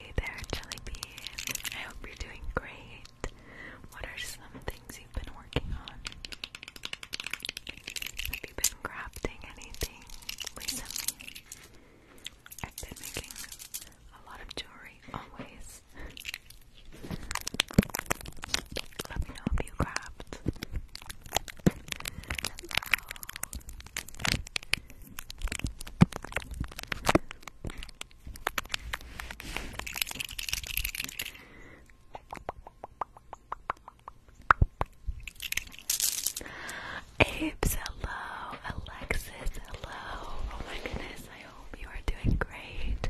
Hey there, Jelly I hope you're doing great. What are some things you've been working on? Have you been crafting anything recently? I've been making a lot of jewelry, always. Let me know if you craft. Apes, hello. Alexis, hello. Oh my goodness, I hope you are doing great.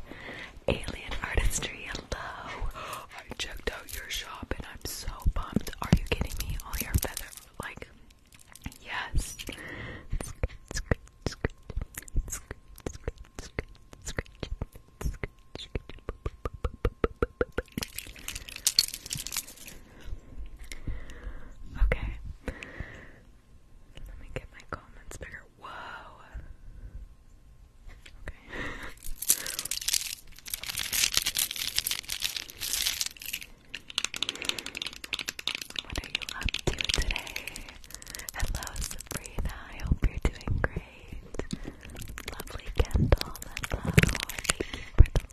Alien Artistry, hello. I checked out your shop and I'm so pumped. Are you kidding me? All your feather, like, Yes. Okay. Let me get my comments bigger. Whoa. Okay. What are you up to today? Hello, Sabrina. I hope you're doing great. Lovely Kendall. Hello. Thank you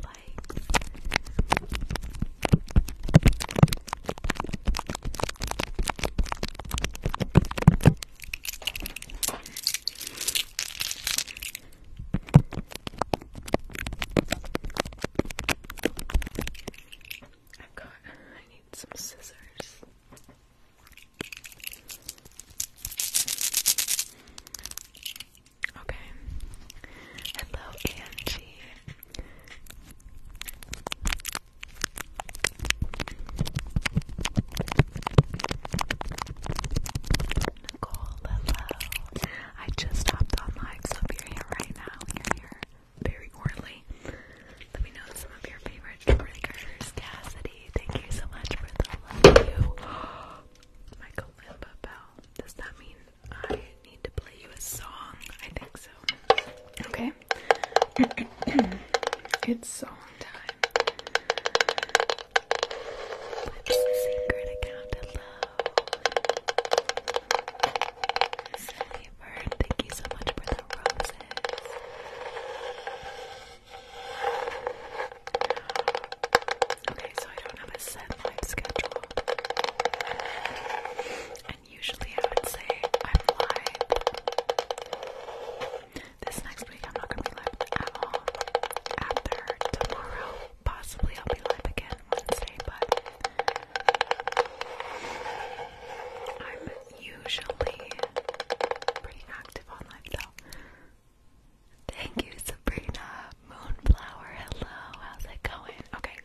i got, I need some scissors. Okay. Hello, Angie. Nicole, hello. I just hopped on live, so here right now, you're here very orally. Let me know some of your favorite triggers. Cassidy, thank you so much for the love you. Michael Limba Does that mean I need to play you a song? I think so. Okay. it's song time. love. Silly thank you so much for the roses. Okay, so I don't have a set live schedule. And usually I would say I'm This next week I'm not gonna be live at all. After tomorrow possibly i live again Wednesday, but I'm usually pretty active on live though. Thank you, Sabrina. Moonflower, hello, how's it going? Okay,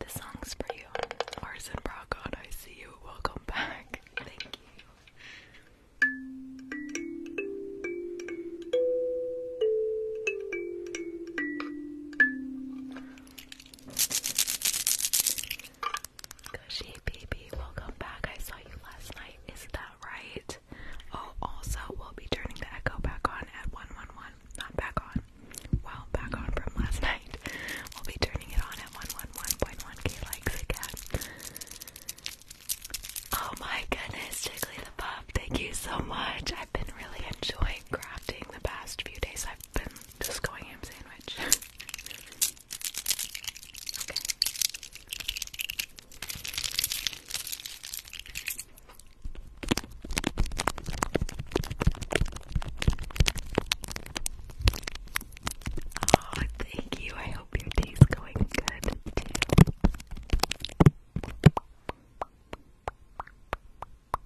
this song's for you. Arson Brockon, I see you. Welcome back. Thank you. Gushy baby, welcome back. I saw you last night. Is that right? Oh, also, we'll be turning the echo back on at 111. Not back on. Well, back on from last night. We'll be turning it on at 111.1k likes again. Oh my goodness, Jiggly the Pup, thank you so much. I've been really enjoying enjoying crafting the past few days. I've been just going ham sandwich. Oh, thank you. I hope your day's going good too.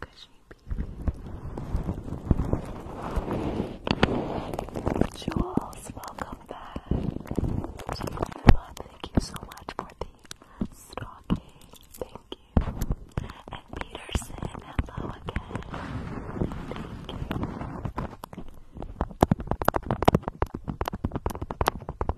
Cushy baby. Jules, welcome back. Thank you so much for the stocking. Thank you. And Peterson, hello again. Thank you.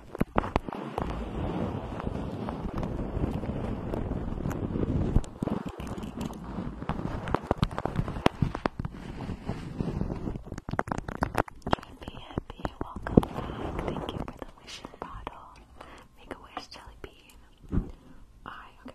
Happy, happy, welcome back. Thank you for the wishing bottle. Make a wish, Jelly Bean. I, okay.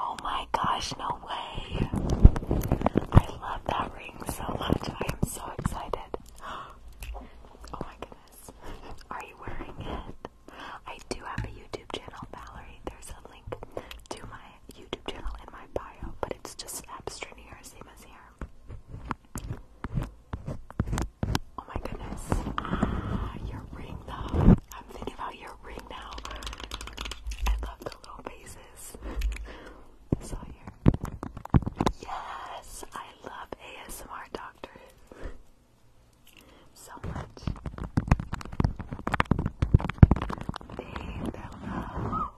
Oh my gosh, no way. I love that ring so much. I am so excited. Oh my goodness. Are you wearing it? I do have a YouTube channel, Valerie. There's a link to my YouTube channel in my bio, but it's just Abstranier, same as here. Oh my goodness. Ah, your ring though. I'm thinking about your ring now. I love the little faces. so here. Yes! I love ASMR doctors. so much. My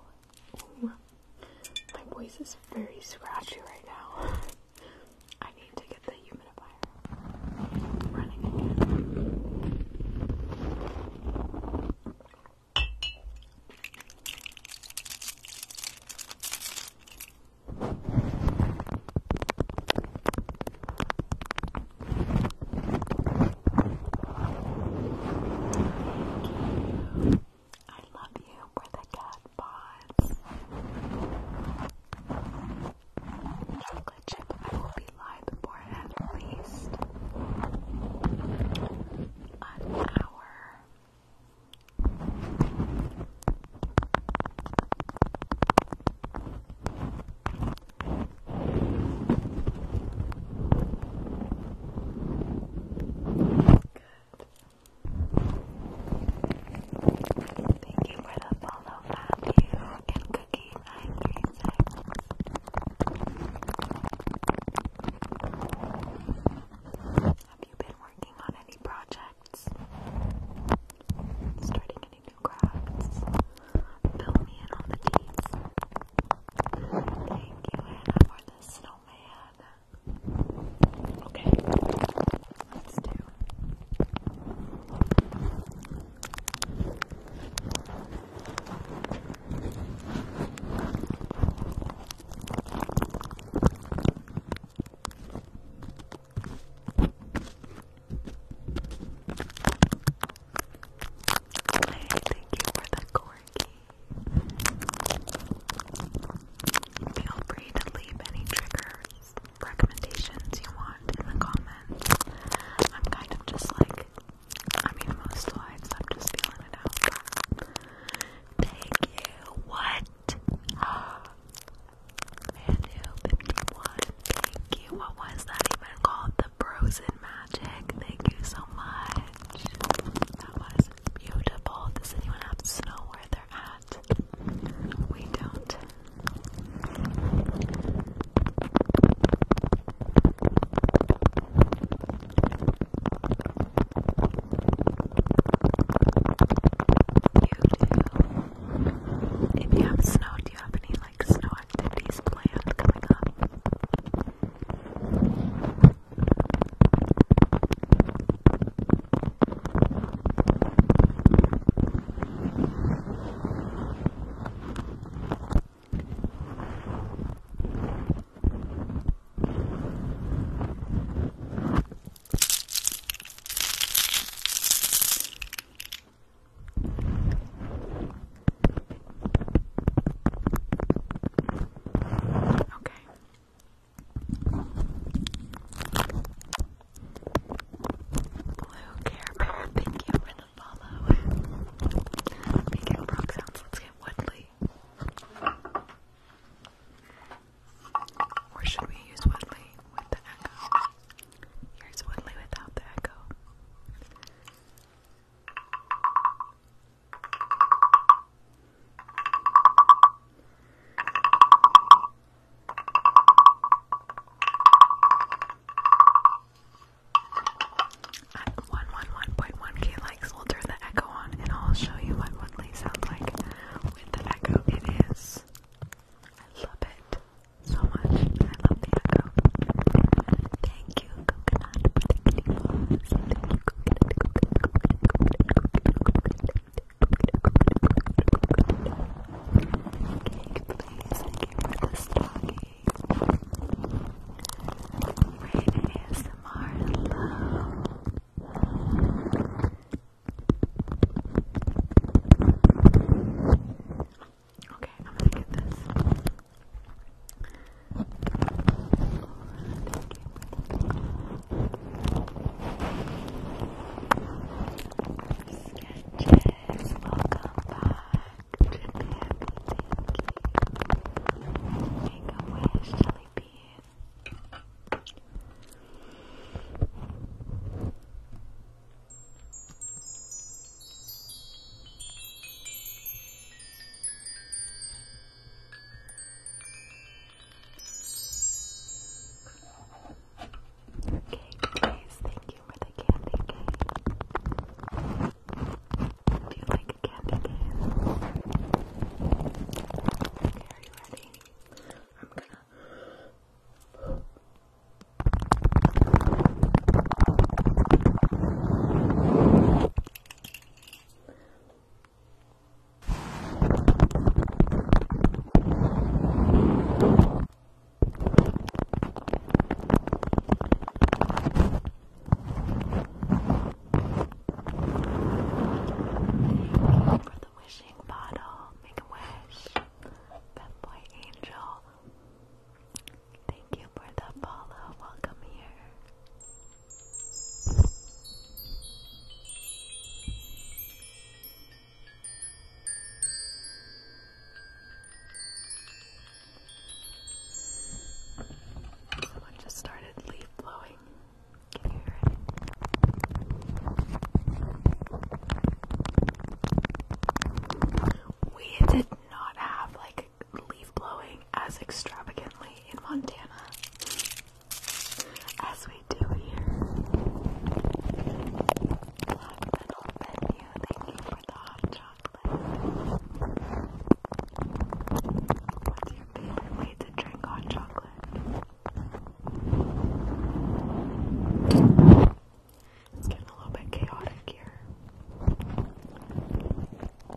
voice is very scratchy right now. I need to get the humidifier running again. I love you for the cat pods. Chocolate chip, I will be live for at least an hour. Thank you for the follow, Matthew and Cookie 936. Have you been working on any projects? Starting any new crafts? Fill me in on the deeds. Thank you, Hannah, for the snowman. Okay, let's thank you for the corgi. Feel free to leave any triggers, recommendations you want in the comments. I'm kind of just like, I mean, most lives I'm just feeling it out. Thank you. What? Manu 51. Thank you. What was that even called? The Frozen Mask magic. Thank you so much. That was beautiful. Does anyone else know where they're at? We don't. You do. If you have snow, do you have any like like snow activities planned coming up. Okay. Blue Care Bear, thank you for the follow. Making rock sounds, let's get Woodley. Or should we use Woodley with the echo? Here's Woodley without the echo. At 111.1k likes, we'll turn the echo on and I'll show you what Woodley sounds like with the echo. It is. I love it so much. I love the echo. Thank Thank you, please. Thank you for ASMR, hello. Okay, I'm going get this. Sketches, welcome back to the happy Make a wish, jelly bean guys, thank you for the candy cane. Do you like a candy cane? Okay, are you ready? I'm gonna. For the wishing bottle, make a wish. Pep boy angel. Thank you for the follow. Welcome here. Someone just started leaf blowing. Can you hear it? We did not have like leaf blowing as extravagantly in Montana as we do here. Black metal venue, thank you for the hot chocolate. What's your favorite way to drink hot chocolate? It's getting a little bit chaotic here.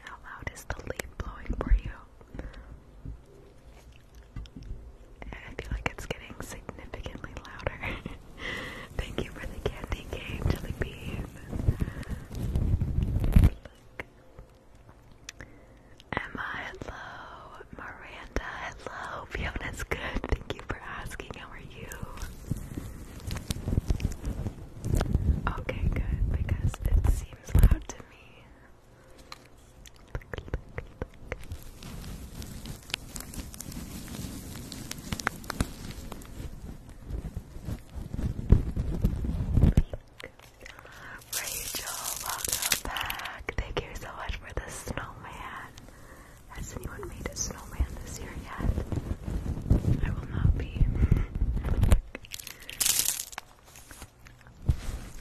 How loud is the leaf blowing for you? I feel like it's getting significantly louder. Thank you for the candy game, Jelly Emma, hello. Miranda, hello. Fiona's good. Thank you for asking. How are you? Okay, good. Because it seems loud to me. Rachel, welcome back. Thank you so much for the snowman. Has anyone made a snowman this year yet? I will not be.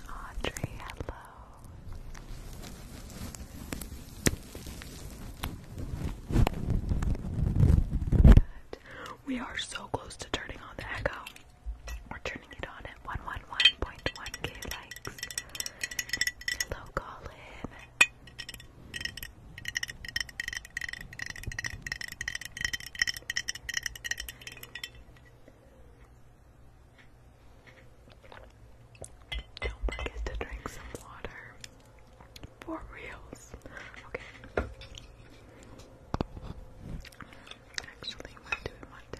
Audrey, hello. Good. We are so close to turning on the echo. We're turning it on at 111.1k likes. Hello, Colin. Don't forget to drink some water. For reals. Okay. Actually, what do we want to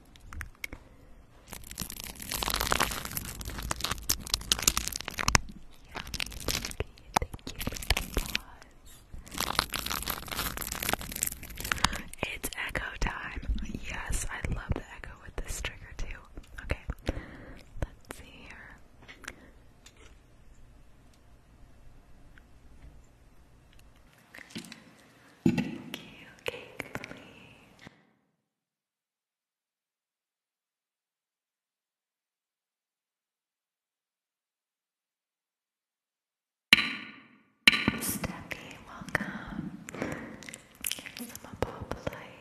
It's echo time. Yes, I love the echo with this trigger too. Okay, let's see here. Thank you, cake please. Steffi, welcome. Here's some a pop light.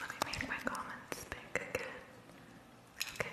Let me make my comments big again. Okay.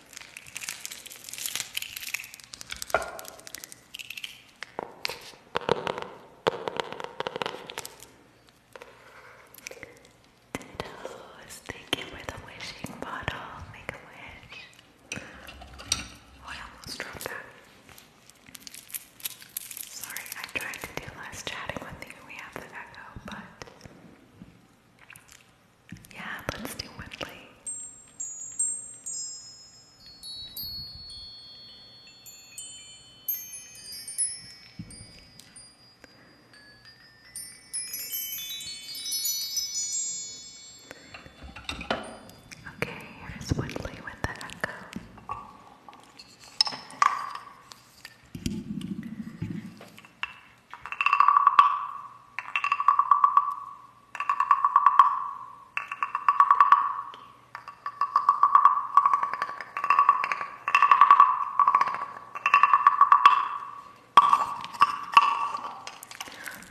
Dittos, thank you for the wishing bottle. Make a wish. Oh, I almost dropped that. Sorry, I tried to do less chatting with you. We have the echo, but yeah, let's do Woodley. Okay, here's Woodley with the echo.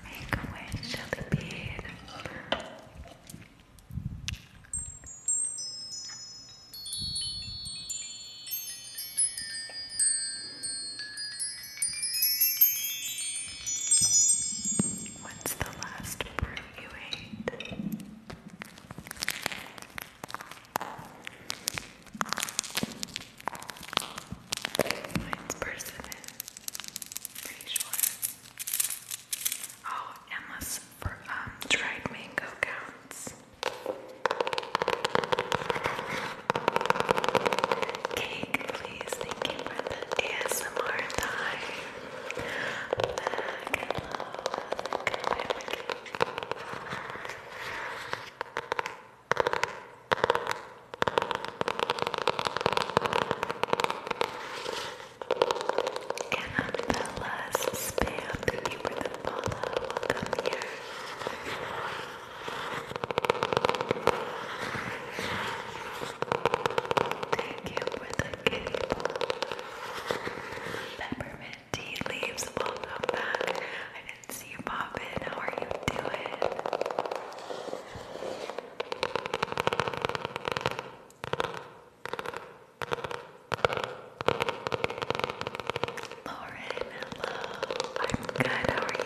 Make a wish, Jellybean. Good. When's the last fruit you ate? Mine's persimmon. Pretty sure. Oh, Emma's for, um, dried mango counts. Cake, please. Thank you for the ASMR time. Back and and the last spam, thank you for the follow. Welcome here. Thank you for the kitty ball. Peppermint tea leaves, welcome back. I didn't see you pop in. How are you doing? Lauren, hello. I'm good. How are you?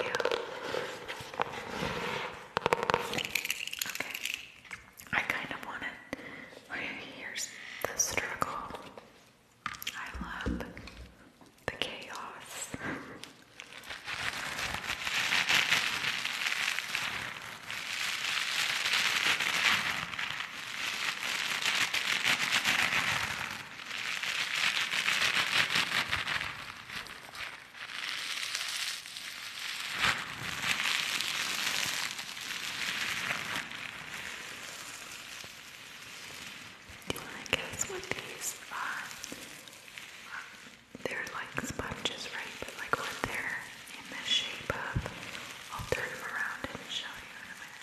Okay. I kind of wanted like here's the struggle. I love the chaos. Do you want to guess what these are? Um, they're like sponges, right? But like what they're in the shape of. I'll turn them around and show you in a minute.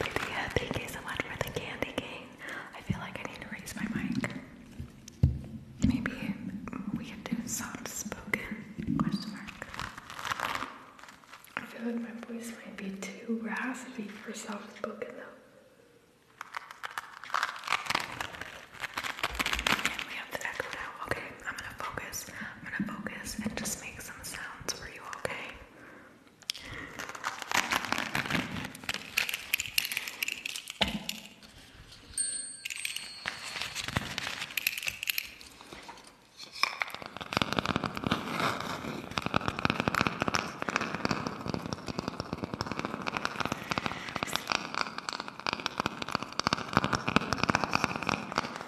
Lydia, thank you so much for the candy cane. I feel like I need to raise my mic. Maybe we could do soft spoken question mark. I feel like my voice might be too raspy for soft spoken though. we have the echo now. Okay. I'm gonna focus. I'm gonna focus and just make some sounds for you, Okay,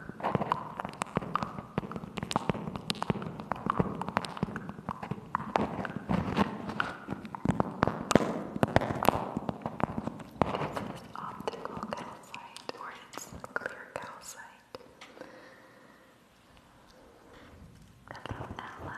This is optical calcite, or it's clear calcite. Hello, Ella.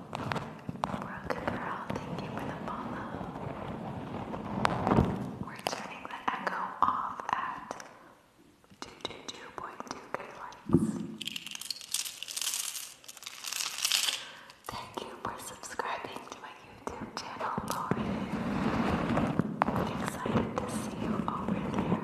Broken thank you for the follow. We're turning the echo off at 222.2k likes. Thank you for subscribing to my YouTube channel, Lauren. excited to see you over there.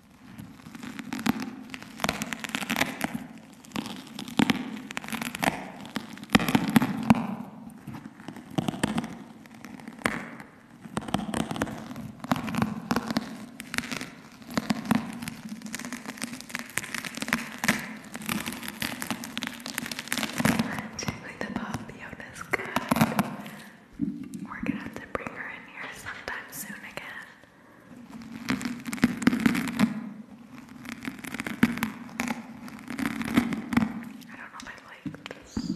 Jiggly the Bob, Yoda's good. We're gonna have to bring her in here sometime soon again. I don't know if I like this.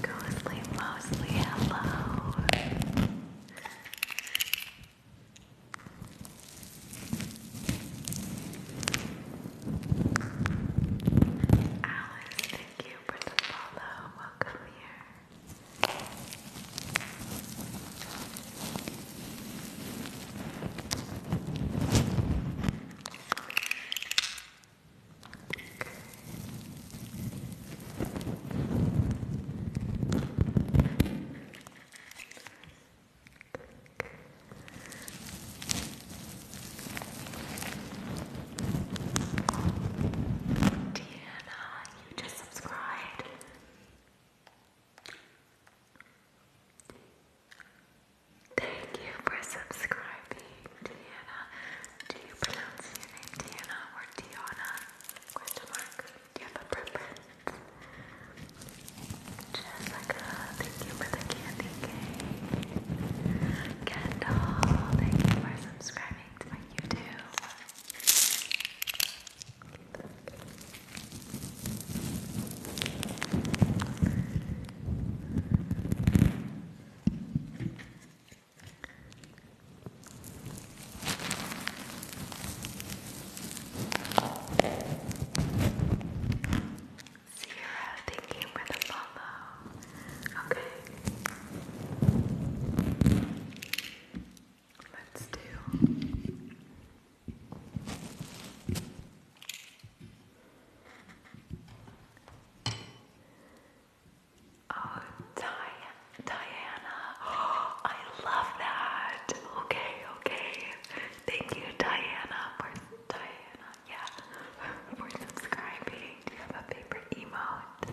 Ghostly, mostly hello. Alice, thank you for the follow. Welcome here. Okay. Deanna, you just subscribed. Thank you for subscribing, Deanna. Do you pronounce your name Deanna or Diana? Question mark you have a preference? Jessica, thank you for the candy cane. Kendall, thank you for subscribing to my YouTube. Sierra, thank you for the follow. Okay. Let's do. Oh, Diane. Diana. I love that. Okay, okay. Thank you, Diana, for Diana, yeah, for subscribing. Do you have a favorite emote?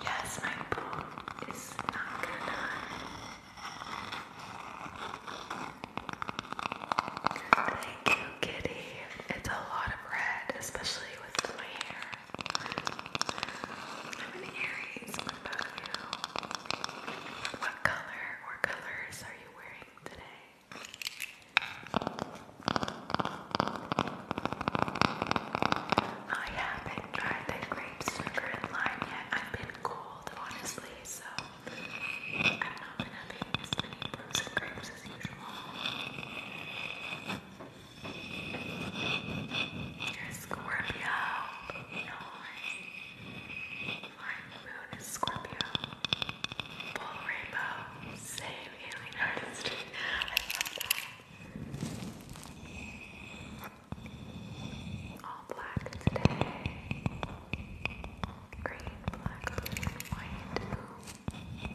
Yes, my pool is not gonna Thank you, Kitty. It's a lot of red, especially with my hair. I'm an Aries. What about you? What color or colors are you wearing today? I haven't tried the grape sugar and lime yet. I've been cold, honestly, so I've not been having as many fruits grapes as usual. You're a Moon is Scorpio. Full rainbow. Same alien artist. I love that. All black today. Green, black, blue, and white. Ooh.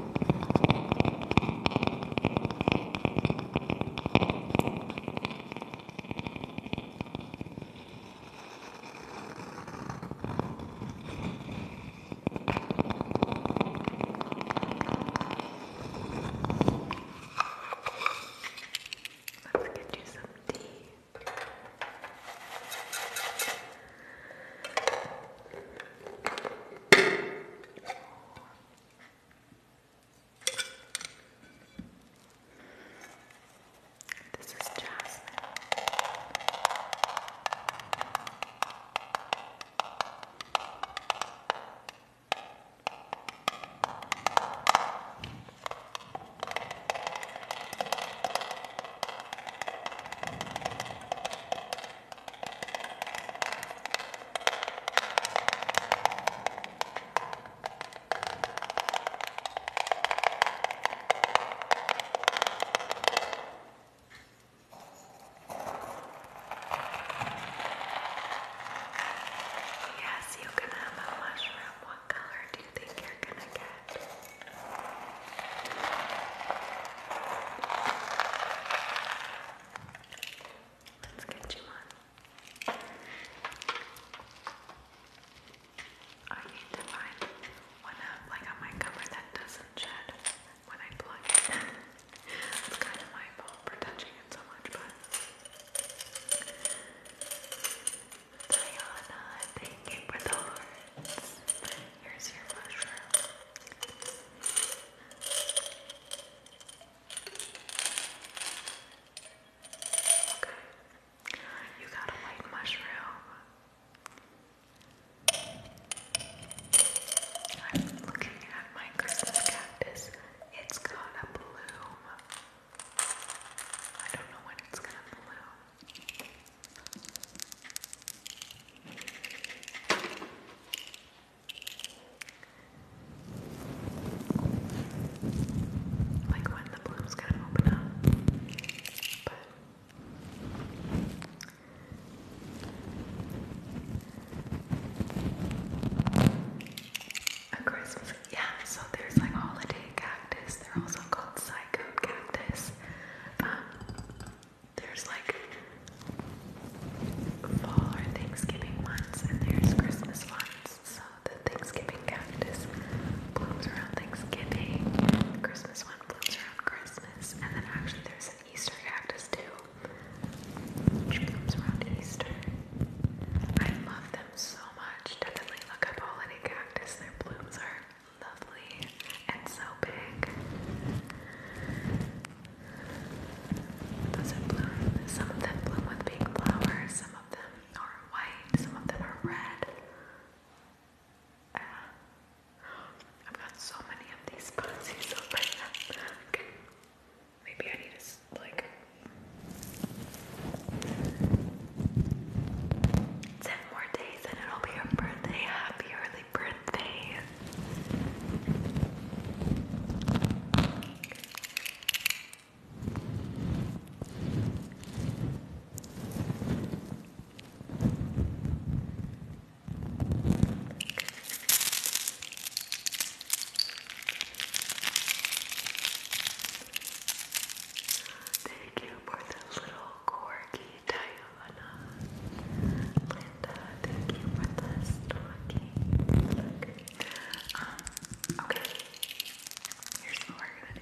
Let's get you some tea. This is jasmine. Yes, you can have a mushroom. What color do you think you're gonna get? Let's get you one. I need to find one like on my cover that doesn't shed when I plug it. it's kind of my fault for touching it so much, but. Diana, thank you for the Here's your mushroom. Okay. You got a white mushroom. I'm looking at my Christmas cactus. It's got bloom. I don't know when it's gonna bloom. Like when the bloom's gonna open up. But a Christmas, yeah. So there's like holiday cactus. They're also called psycho cactus. Um, there's like fall or Thanksgiving ones, and there's Christmas ones. So the Thanksgiving cactus blooms around Thanksgiving, the Christmas one blooms around Christmas, and then actually there's an Easter cactus too, which blooms around Easter. I love them so much. Definitely look up holiday cactus, their blooms are lovely and so big some of them bloom with pink flowers, some of them are white, some of them are red. Ah. I've got so many of these posies Maybe I need to, like. Ten more days and it'll be your birthday. Happy early happy birthday. Thank you for those little corgi tail Linda, thank you for the stocking. Look. okay. Here's what we're gonna do.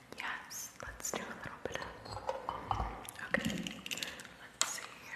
Yes, let's do a little bit of. Okay, let's see here.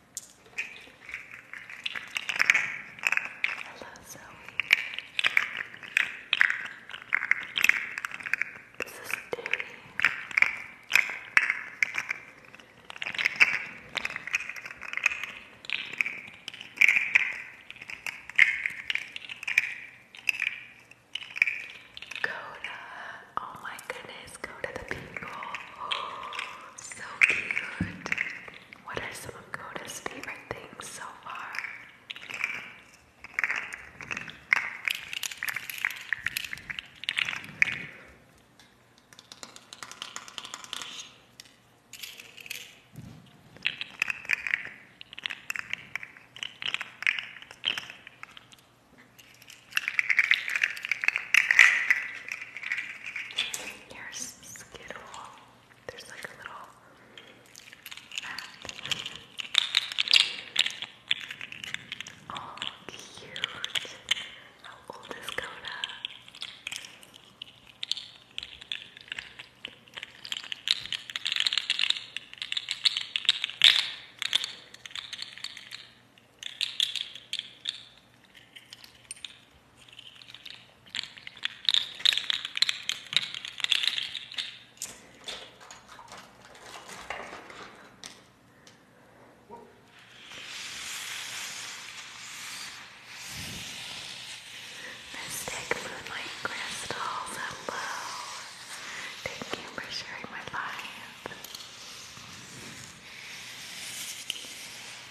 Hello, Zoe. This is Danny. Go to, oh my goodness, go to the people. Oh, so cute. What are some of Coda's favorite things so far? Here's Skittle. There's like a little Oh, cute. How old is Coda? Mystic Moonlight Crystals, hello. Thank you for sharing my life.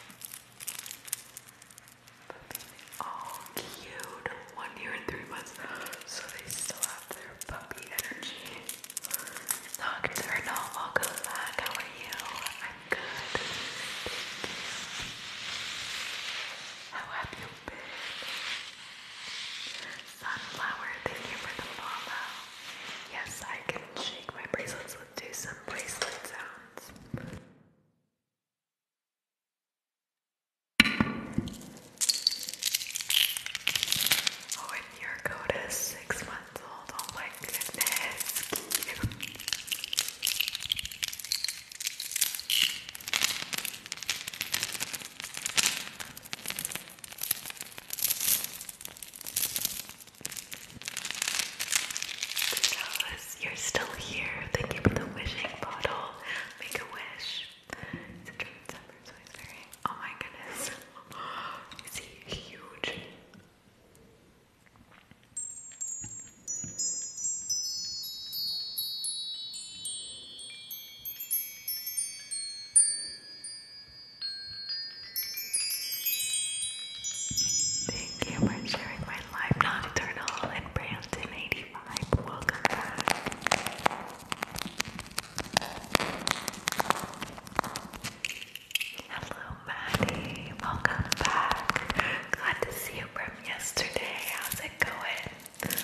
Puppies all cute. One year and three months. So they still have their puppy energy. Doctor, no, welcome back. How are you? I'm good. How have you been? Sunflower, thank you for follow. Yes, I can shake my bracelets do some bracelet sounds. Oh, and your coat is six months old. Oh my goodness. Alice, you're still here. thinking of the wishing bottle. Make a wish. Oh my goodness. Is he huge? Thank you for sharing my live nocturnal in Brampton 85. Welcome back. Hello, Maddie. Welcome back. Glad to see you from yesterday. How's it going?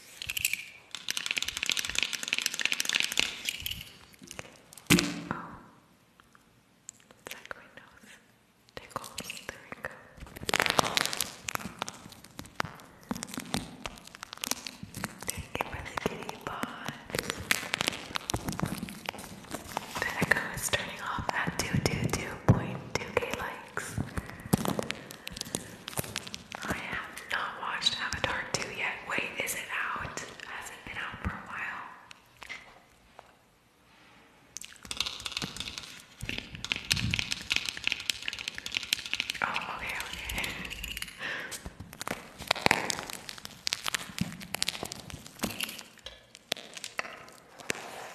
Oh, it's like my nose tickles. There we go. Thank you kitty bot. The echo is turning off at 222.2k likes. I have not watched Avatar 2 yet. Wait, is it out? Hasn't been out for a while. Oh, okay, okay.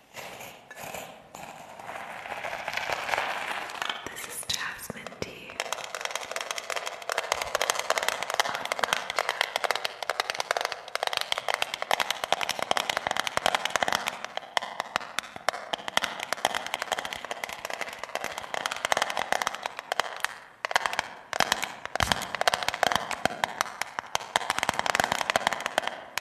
This is jasmine tea.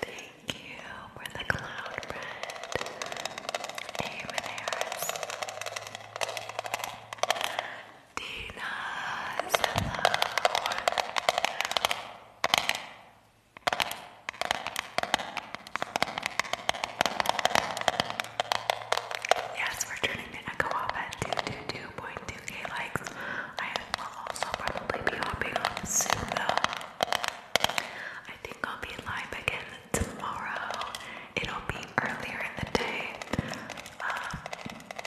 Thank you for the cloud bread. Aim and airs. Dina's hello. Yes, we're turning the echo off at 222.2k likes. I will also probably be hopping soon though. I think I'll be live again tomorrow. It'll be earlier in the day. Um,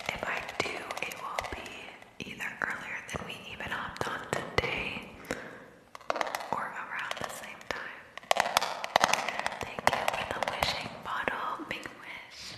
if I do, it will be either earlier than we even hopped on today or around the same time. Thank you for the wishing bottle, big wish.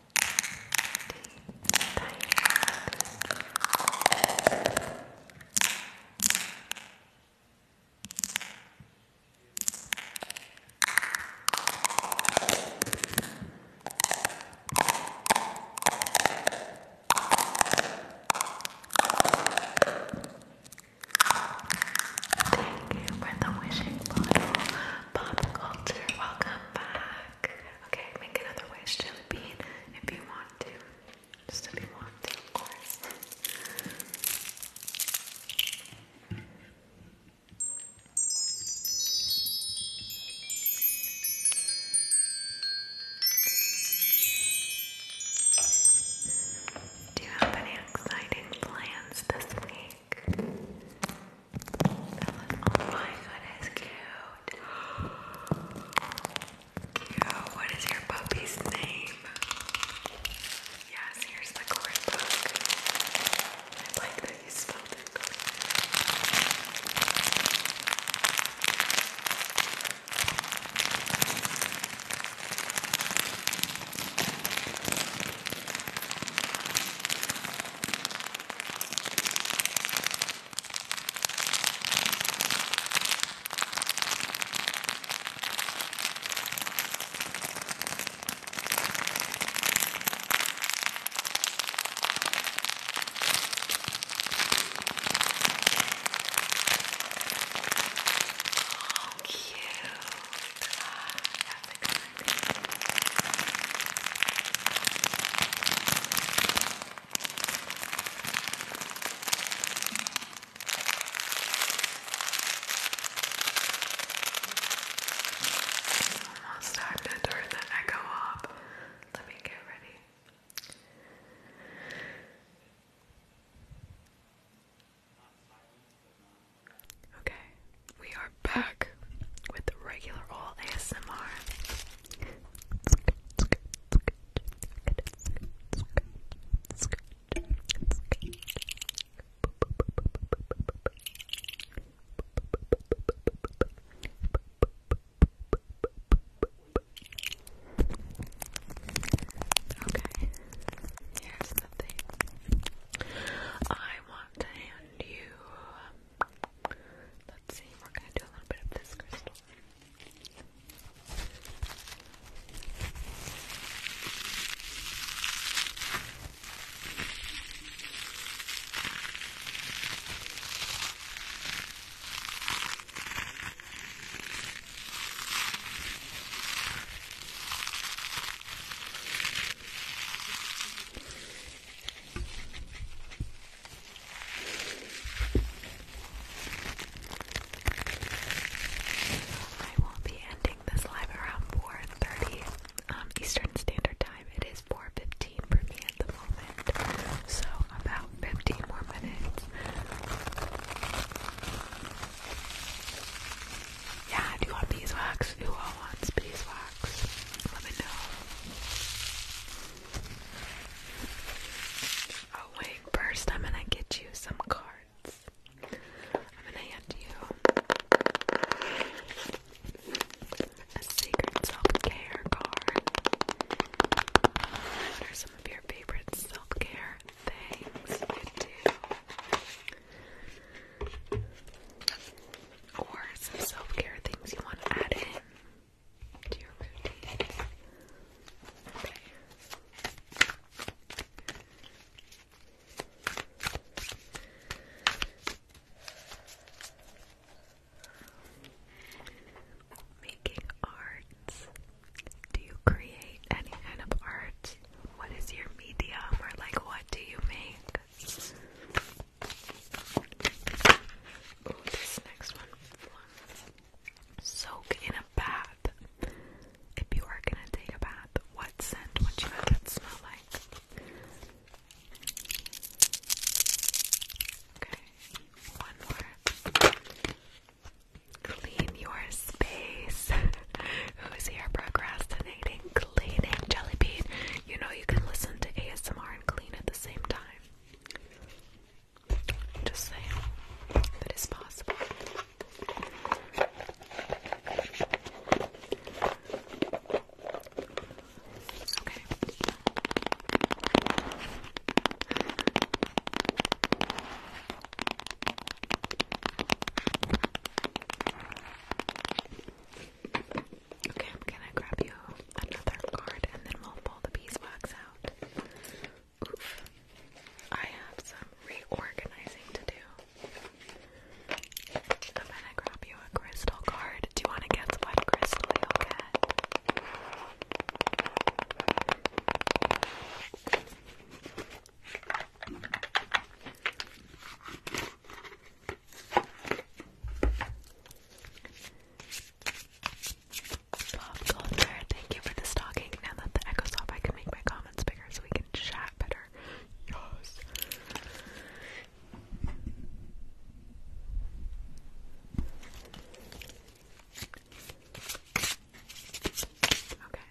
Thank you for the wishing bottle. Pop culture, welcome. I'm back. Okay, make another wish, Jelly Bean, if you want to. Just if you want to, of course. Do you have any exciting plans this week? Oh my goodness, cute. Cute. What is your puppy's name? Yes, here's the coloring book. I like that you spelled it. Oh, cute. Ah, that's a good Almost time to turn the echo up. Let me get ready. Okay, we are back with the regular old ASMR. Okay, here's I want to hand you Let's see, we're gonna do a little bit of this crystal. I will be ending this live around 4:30 um, Eastern Standard Time. It is 4:15 for me at the moment, so about 15 more minutes. Yeah, do you want beeswax? Who all wants beeswax? Let me know. Oh wait, first I'm gonna get you some cards. I'm gonna hand you a secret self-care card. What are some of your favorite self-care things you do? or some self care things you want to add in to your routine. Making arts. Do you create any kind of art? What is your medium or like what do you make? Soak in a bath. If you are gonna take a bath, what scent would you have that smell like? Okay, one more. Clean your space. Who's here procrastinating? Cleaning, Jellybean. You know, you can listen to ASMR and clean at the same time. Just saying, that is possible. Okay. Okay, I'm gonna grab you another card and then we'll pull the beeswax out. Oof. I have some reorganizing to do. I'm gonna grab you a crystal card. Do you wanna get what crystal you Bob thank you for the stalking. Now that the echo's off, I can make my comments bigger so we can chat better. Yes. Okay.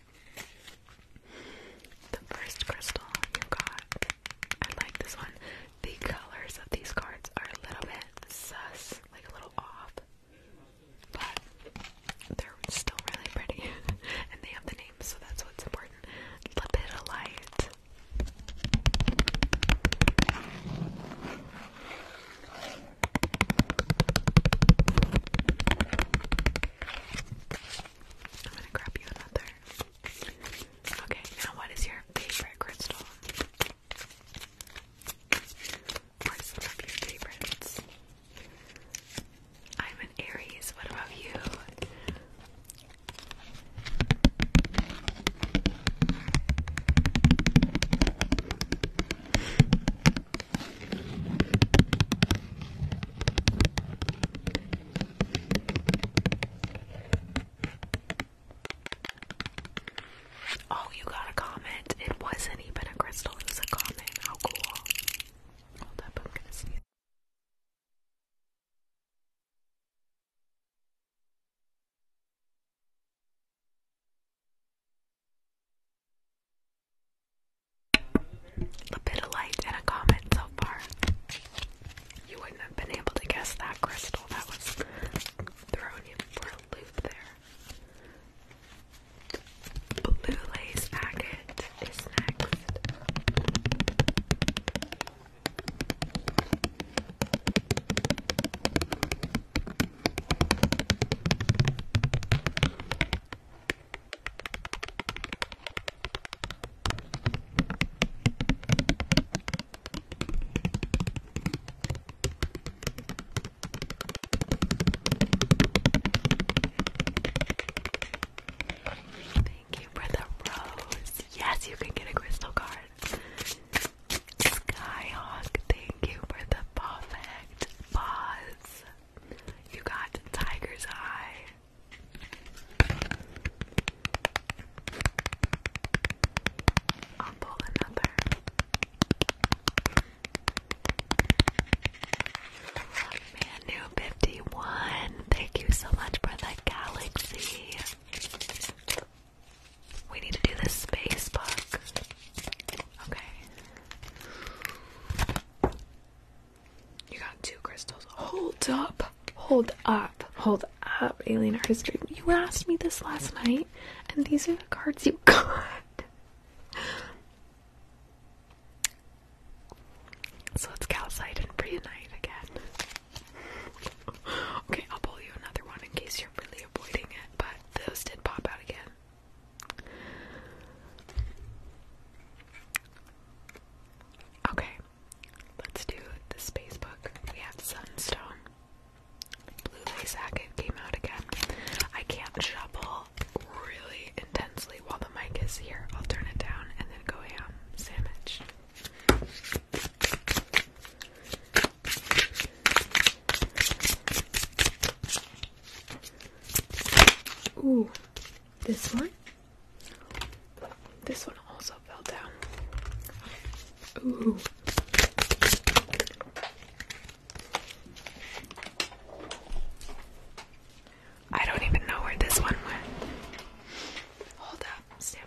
The first crystal you got I like this one. The colors of these cards are a little bit sus, like a little off, but they're still really pretty, and they have the names, so that's what's important. Lepidolite. I'm gonna grab you another. Okay, now what is your favorite crystal? Or some of your favorites? I'm an Aries. What about you? Oh, you got a comment. It wasn't even a crystal, it was a comment. How cool. Hold up, I'm gonna see A bit of light and a comment so far. You wouldn't have been able to guess that crystal. That was thrown you for a loop there. Blue lace agate is next. Thank you for the rose. Yes, you can get a crystal card. Skyhawk, thank you for the perfect pause. You got Tiger's Eye. I'll pull another. Manu fifty one, thank you so much for the galaxy. We need to do this space book. Okay. You got two crystals. Hold up. Hold up, hold up, Alien Art History. You asked me this last night, and these are the cards you got. So it's calcite and preonite again. okay, I'll pull you another one in case you're really avoiding it, but those did pop out again. Okay, Let's do the space book. We have Sunstone. Blue Lace Jacket came out again. I can't shuffle really intensely while the mic is here. I'll turn it down and then go ham sandwich. Ooh, this one this one also fell down. I don't even know where this one went. Hold up, stand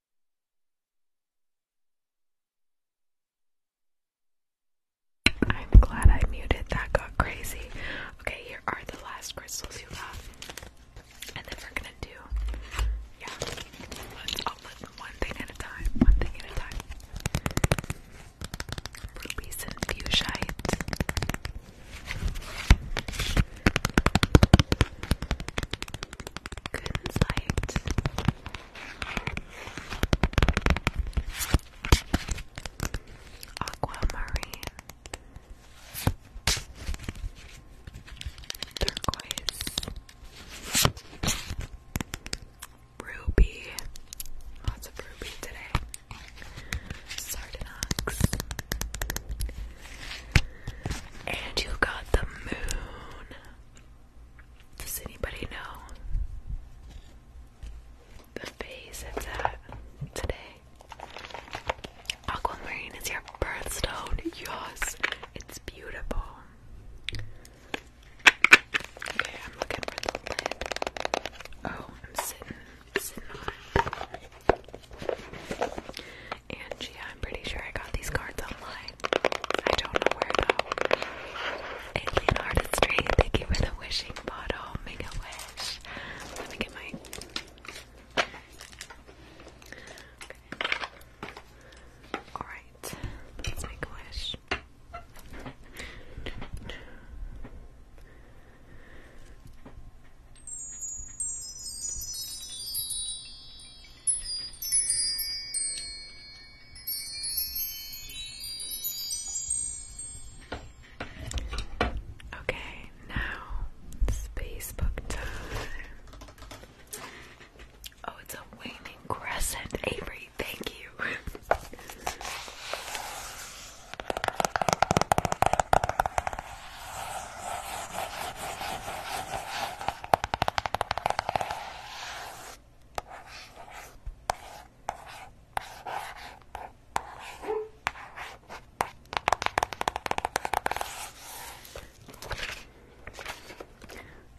I'm glad I muted. That got crazy. Okay, here are the last crystals you got. And then we're gonna do, yeah, I'll put one thing at a time. One thing at a time. Rubies and fuchsiite. Aquamarine, turquoise, ruby, lots of ruby today, sardonyx, and you got the moon. Does anybody know the base it's at today? Aquamarine is your birthstone. Yes, it's beautiful. Okay, I'm looking for the lid. Oh, I'm sitting, sitting on it. And yeah, I'm pretty sure I got these cards online. I don't know where though. Alien Artistry, thank you for the wishing bottle. Make a wish. Let me get my. Alright, let's make a wish. Okay, now Facebook time. Oh, it's a waning crescent, Avery. Thank you.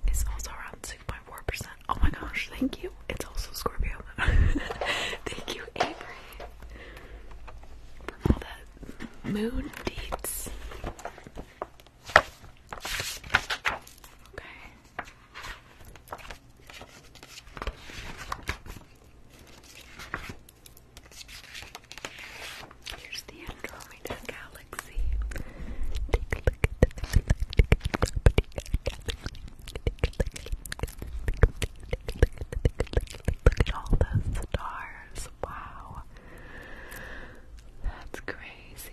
It's also around six point four percent Oh my gosh, thank you. It's also Scorpio. thank you, Avery, for all that moon deeds. Here's the Andromeda Galaxy. Take a look Look at all the stars. Wow. That's crazy.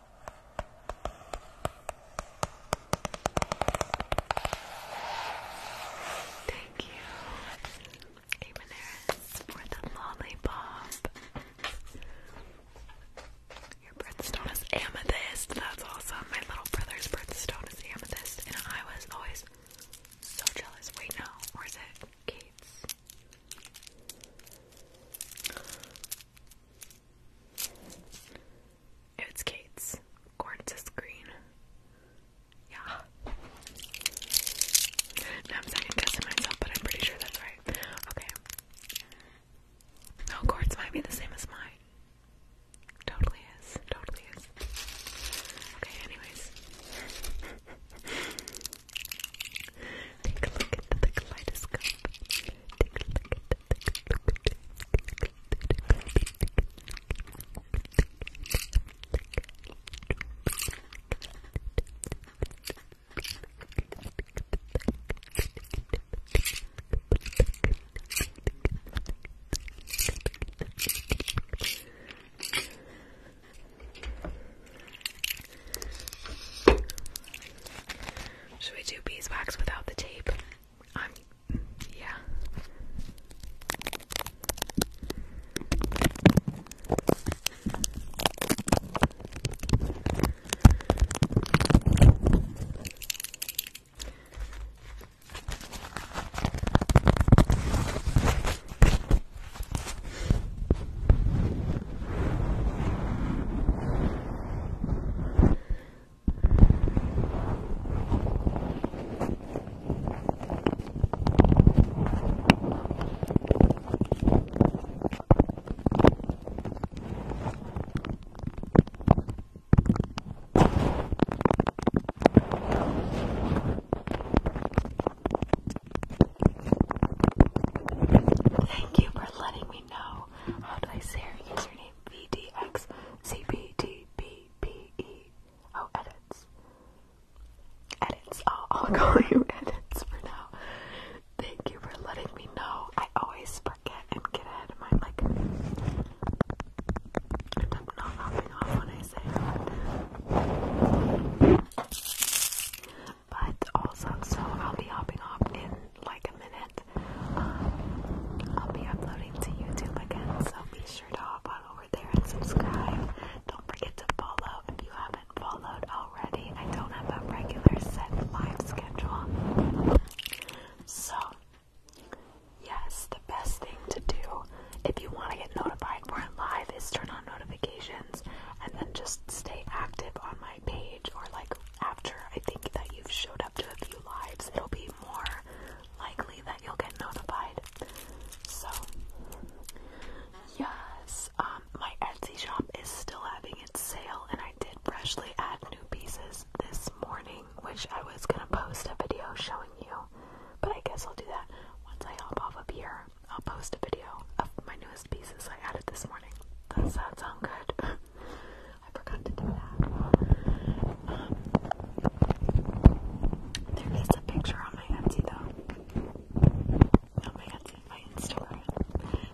Thank you, Amonaris, for the lollipop. Your birthstone is amethyst. That's awesome. My little brother's birthstone is amethyst, and I was always so jealous. Wait, no, or it Kate's? It's Kate's Quartz green. Yeah. Now I'm second guessing myself, but I'm pretty sure that's right. Okay. No, oh, quartz might be the same as mine. Totally is. Totally is. Okay, anyways. Take a look into the kaleidoscope. Should we do beeswax without the tape? I'm yeah. Thank you for letting me know. How do I say your username? VDX oh, edits. Edits. Oh, I'll call edits for now. Thank you for letting me know. I always forget and get ahead of mine. Like, I'm not hopping off when I say that. But also, so I'll be hopping off in like a minute. Um, I'll be uploading to YouTube again, so be sure to hop on over there and subscribe. Don't forget to follow if you haven't followed already. I don't have a regular set live schedule. So, yes, the best thing to do if you want to get notified when i live is turn on notifications and then just stay active on my page or like after I think that you've showed up to a few lives, it'll be more likely that you'll get notified. So, yes, um, my Etsy shop is still having its sale, and I did freshly add new pieces this morning, which I was gonna post a video showing you, but I guess I'll do that once I hop off up here. I'll post a video of my newest pieces I added this morning. Does that sound good? I forgot to do that. Um, there is a picture on my Etsy though. Not my Etsy, my Instagram.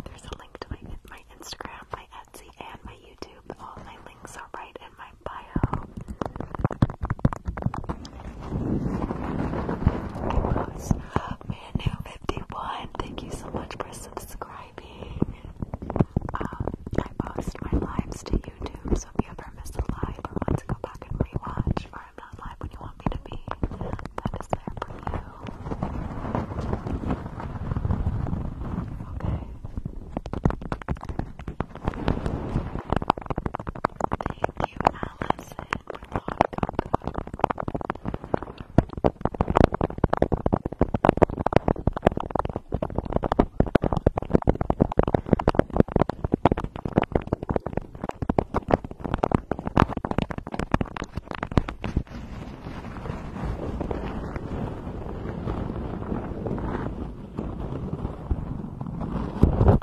There's a link to my my Instagram, my Etsy, and my YouTube. All my links are right in my bio. Manu51. Thank you so much for subscribing subscribing. I uh, post my lives to YouTube, so if you miss a live or want to go back and rewatch, or I'm not live when you want me to be, that is there for you. Okay. Thank you, Allison,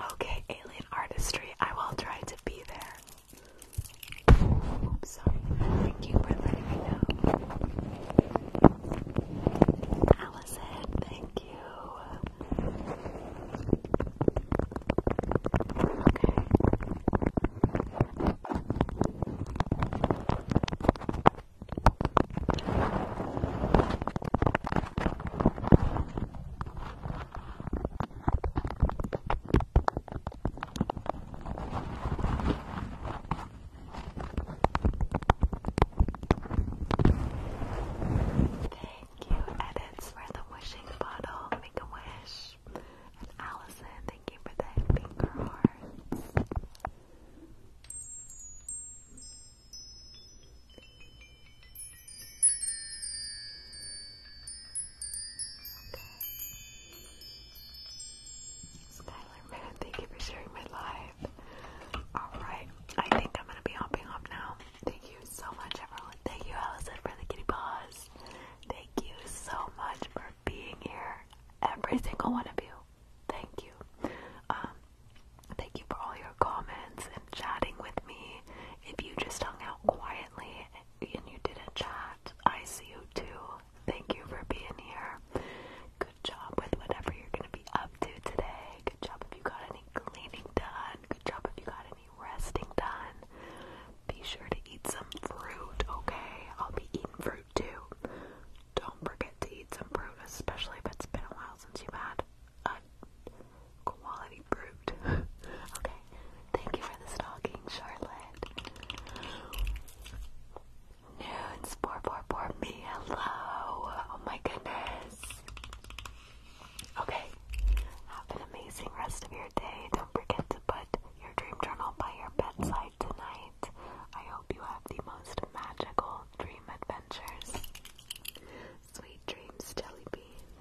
Okay, alien artistry, I will try to be there. sorry. Thank you for letting me know. Allison, thank you. Okay. Thank you, Edits, for the wishing bottle. Make a wish. And Allison, thank you for the finger hearts. Skylar Moon, thank you for sharing my live. Alright, I think I'm gonna be hopping off now. Thank you so much, everyone. Thank you, Allison, for the kitty paws. Thank you so much for being here, every single one of you. Thank you. Um, thank you for all your comments and chatting with me. If you just hung out quietly and you didn't chat, I see you too. Thank you for being here. Good job with whatever you're going to be up to today. Good job if you got any cleaning done. Good job if you got any resting done. Be sure to eat some fruit, okay? I'll be eating fruit too. Don't forget to eat some fruit, especially if it's been a while since you've had a quality fruit. okay, thank you for the stocking, Charlotte. Nudes, poor, me. Hello. Oh my goodness. Okay. Have an amazing rest of your day. Don't forget to put your dream journal by your bedside tonight. I hope you have the most magical dream adventures. Sweet dreams, Jellybean.